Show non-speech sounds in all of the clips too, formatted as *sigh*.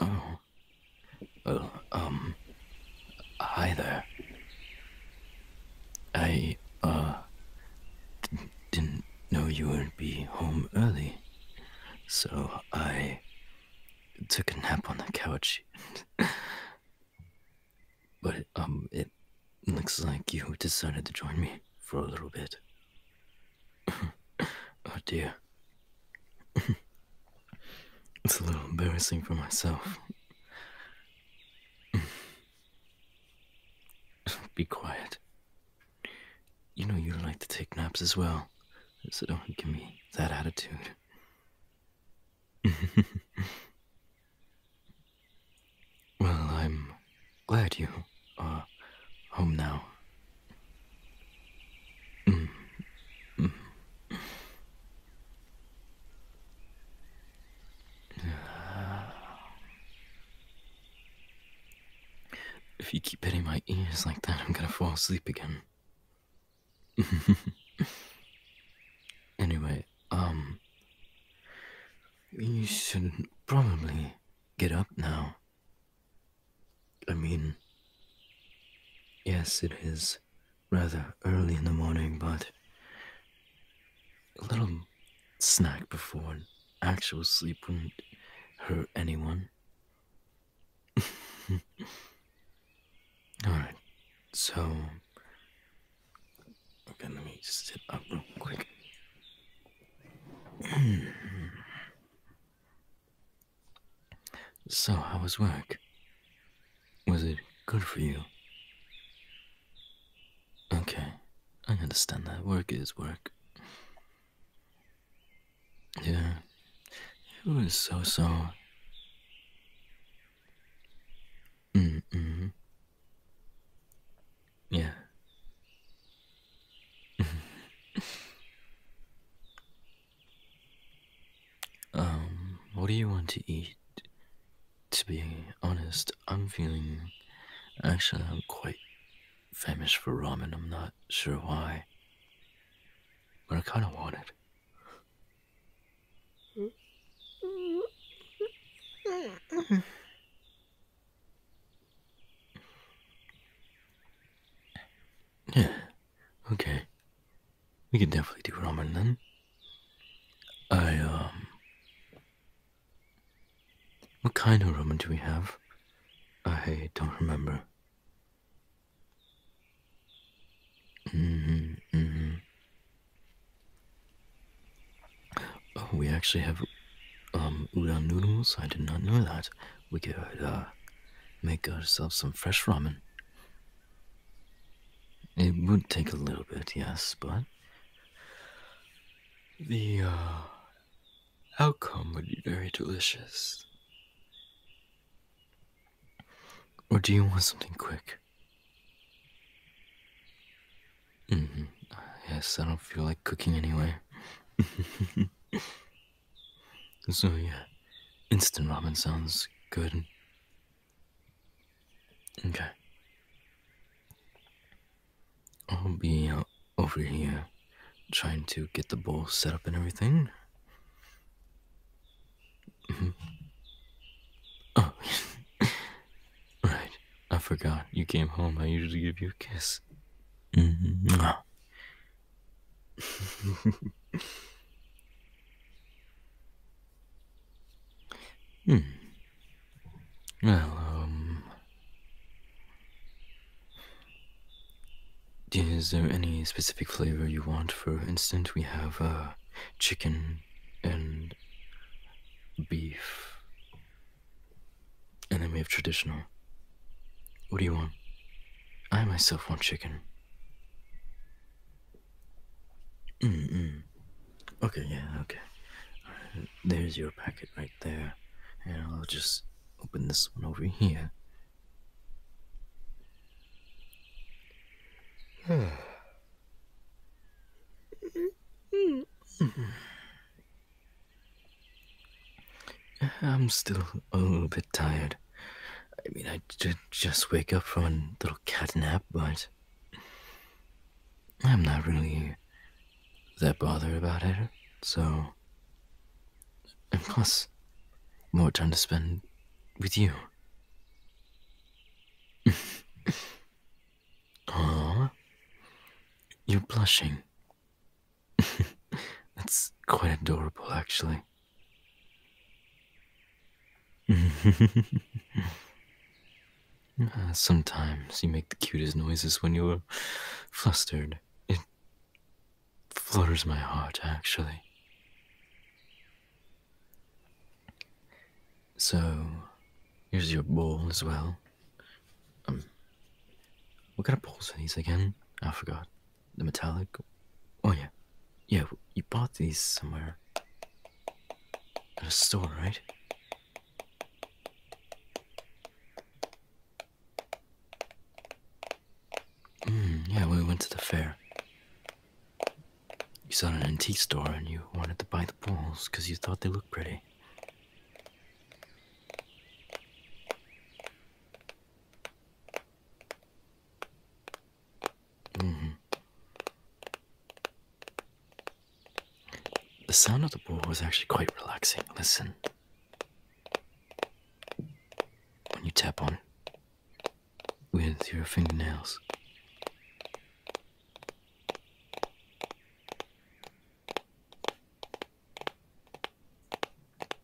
Oh. um. Hi there. I, uh. didn't know you would be home early. So I. took a nap on the couch. *laughs* but, um, it Looks like you decided to join me for a little bit. *laughs* oh dear. *laughs* it's a little embarrassing for myself. *laughs* Be quiet. You know you like to take naps as well, so don't give me that attitude. Well, I'm glad you are home now. Mm. Mm. *sighs* If you keep hitting my ears like that, I'm gonna fall asleep again. *laughs* anyway, um, you should probably get up now. I mean, yes, it is rather early in the morning, but a little snack before actual sleep wouldn't hurt anyone. *laughs* Alright, so Okay, let me sit up real quick. *clears throat* so, how was work? Was it good for you? Okay, I understand that. Work is work. Yeah, it was so so. Mm -mm. Yeah. *laughs* um, what do you want to eat? To be honest, I'm feeling. Actually, I'm quite famished for ramen. I'm not sure why. But I kind of want it. *laughs* Yeah, okay. We can definitely do ramen then. I, um. What kind of ramen do we have? I don't remember. Mm-hmm, mm-hmm. Oh, we actually have um, udon noodles. I did not know that. We could uh, make ourselves some fresh ramen. It would take a little bit, yes, but the uh, outcome would be very delicious. Or do you want something quick? -hmm. Yes, I don't feel like cooking anyway. *laughs* so yeah, instant ramen sounds good. Okay. I'll be over here trying to get the bowl set up and everything. Mm -hmm. *laughs* right. I forgot you came home. I usually give you a kiss. Mm-hmm. *laughs* hmm. Well, um. Is there any specific flavor you want? For instance, we have uh, chicken and beef and then we have traditional. What do you want? I myself want chicken. Mm Okay, yeah, okay. there's your packet right there. And I'll just open this one over here. *sighs* Mm-hmm. I'm still a little bit tired. I mean, I did just wake up from a little cat nap, but I'm not really that bothered about it, so. And plus, more time to spend with you. *laughs* Aww. You're blushing. *laughs* That's quite adorable, actually. *laughs* Uh, sometimes you make the cutest noises when you're flustered. It flutters my heart, actually. So, Here's your bowl as well. Um, what kind of bowls are these again? I forgot. The metallic. Oh yeah, yeah. You bought these somewhere at a store, right? Mm, yeah, we went to the fair. You saw an antique store and you wanted to buy the balls because you thought they looked pretty. -hmm. The sound of the pool was actually quite relaxing. Listen. When you tap on with your fingernails,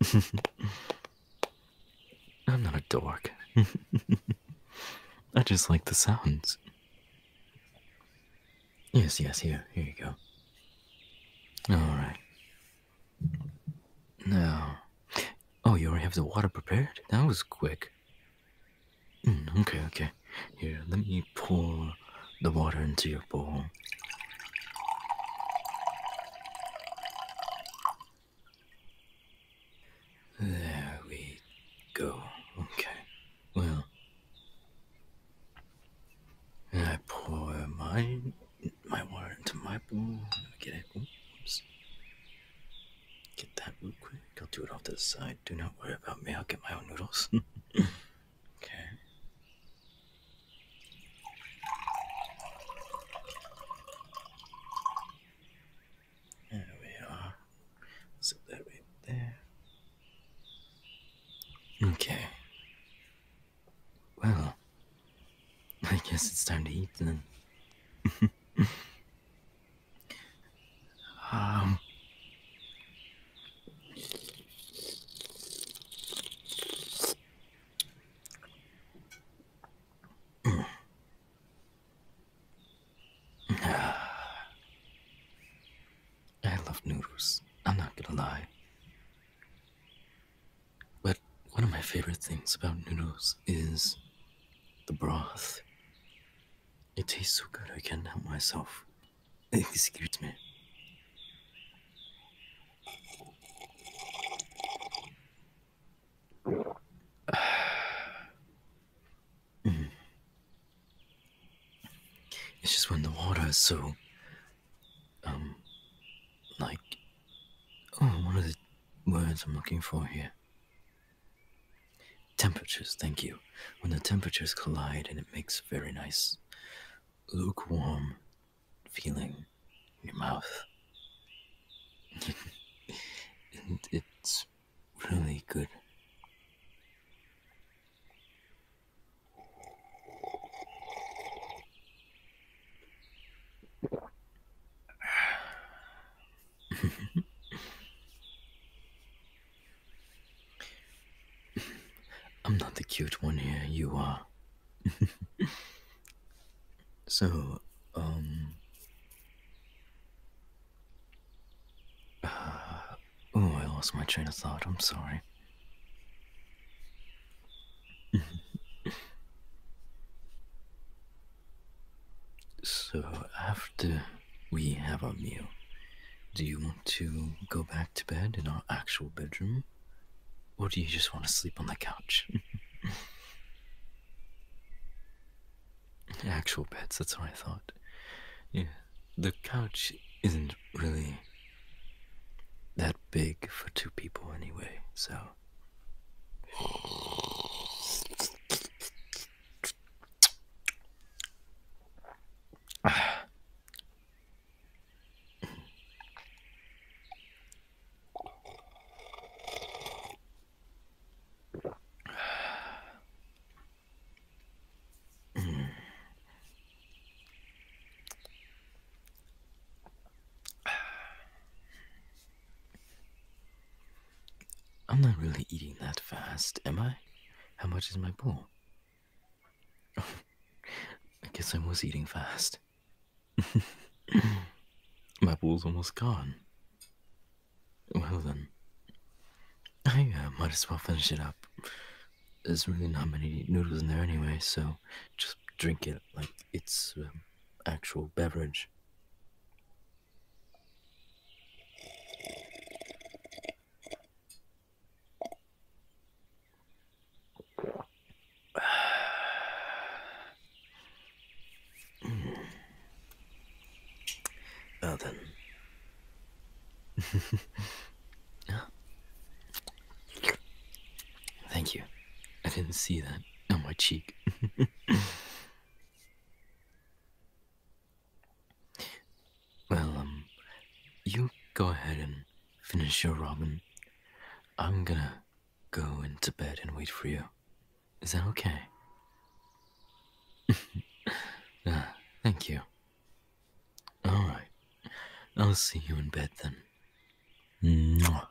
*laughs* I'm not a dork. *laughs* I just like the sounds. Yes, yes, here, here you go. All right. Now, oh, you already have the water prepared? That was quick. Hmm, okay, okay. Here, let me pour the water into your bowl. There we go. Okay. Well, I pour my my water into my bowl. Let me get it. Oops. Get that real quick. I'll do it off to the side. Do not worry about me. I'll get my own noodles. *laughs* Okay. There we are. Zip that right there. Okay. Well, I guess it's time to eat then. *laughs* um, *sighs* I love noodles. I'm not gonna lie. But one of my favorite things about noodles is the broth. It tastes so good, I can't help myself Excuse me. *sighs* It's just when the water is so, um, like, oh, what are the words I'm looking for here? Temperatures, thank you. When the temperatures collide and it makes very nice lukewarm feeling in your mouth. *laughs* and it's really good. *laughs* *laughs* I'm not the cute one here, you are. *laughs* so, um. Uh, *sighs* oh, I lost my train of thought, I'm sorry. *laughs* so, after we have our meal, do you want? to go back to bed in our actual bedroom, or do you just want to sleep on the couch? *laughs* actual beds, that's what I thought. Yeah, the couch isn't really that big for two people anyway, so. I'm not really eating that fast, am I? How much is my bowl? I guess I was eating fast. *laughs* My ball's almost gone. Well then, I uh, might as well finish it up. There's really not many noodles in there anyway, so just drink it like it's um, actual beverage. *sighs* well then. *laughs* Thank you. I didn't see that on my cheek. *laughs* Well, um, you go ahead and finish your robin. I'm gonna go into bed and wait for you. Is that okay? uh, *laughs* thank you. Alright. I'll see you in bed then. Mwah.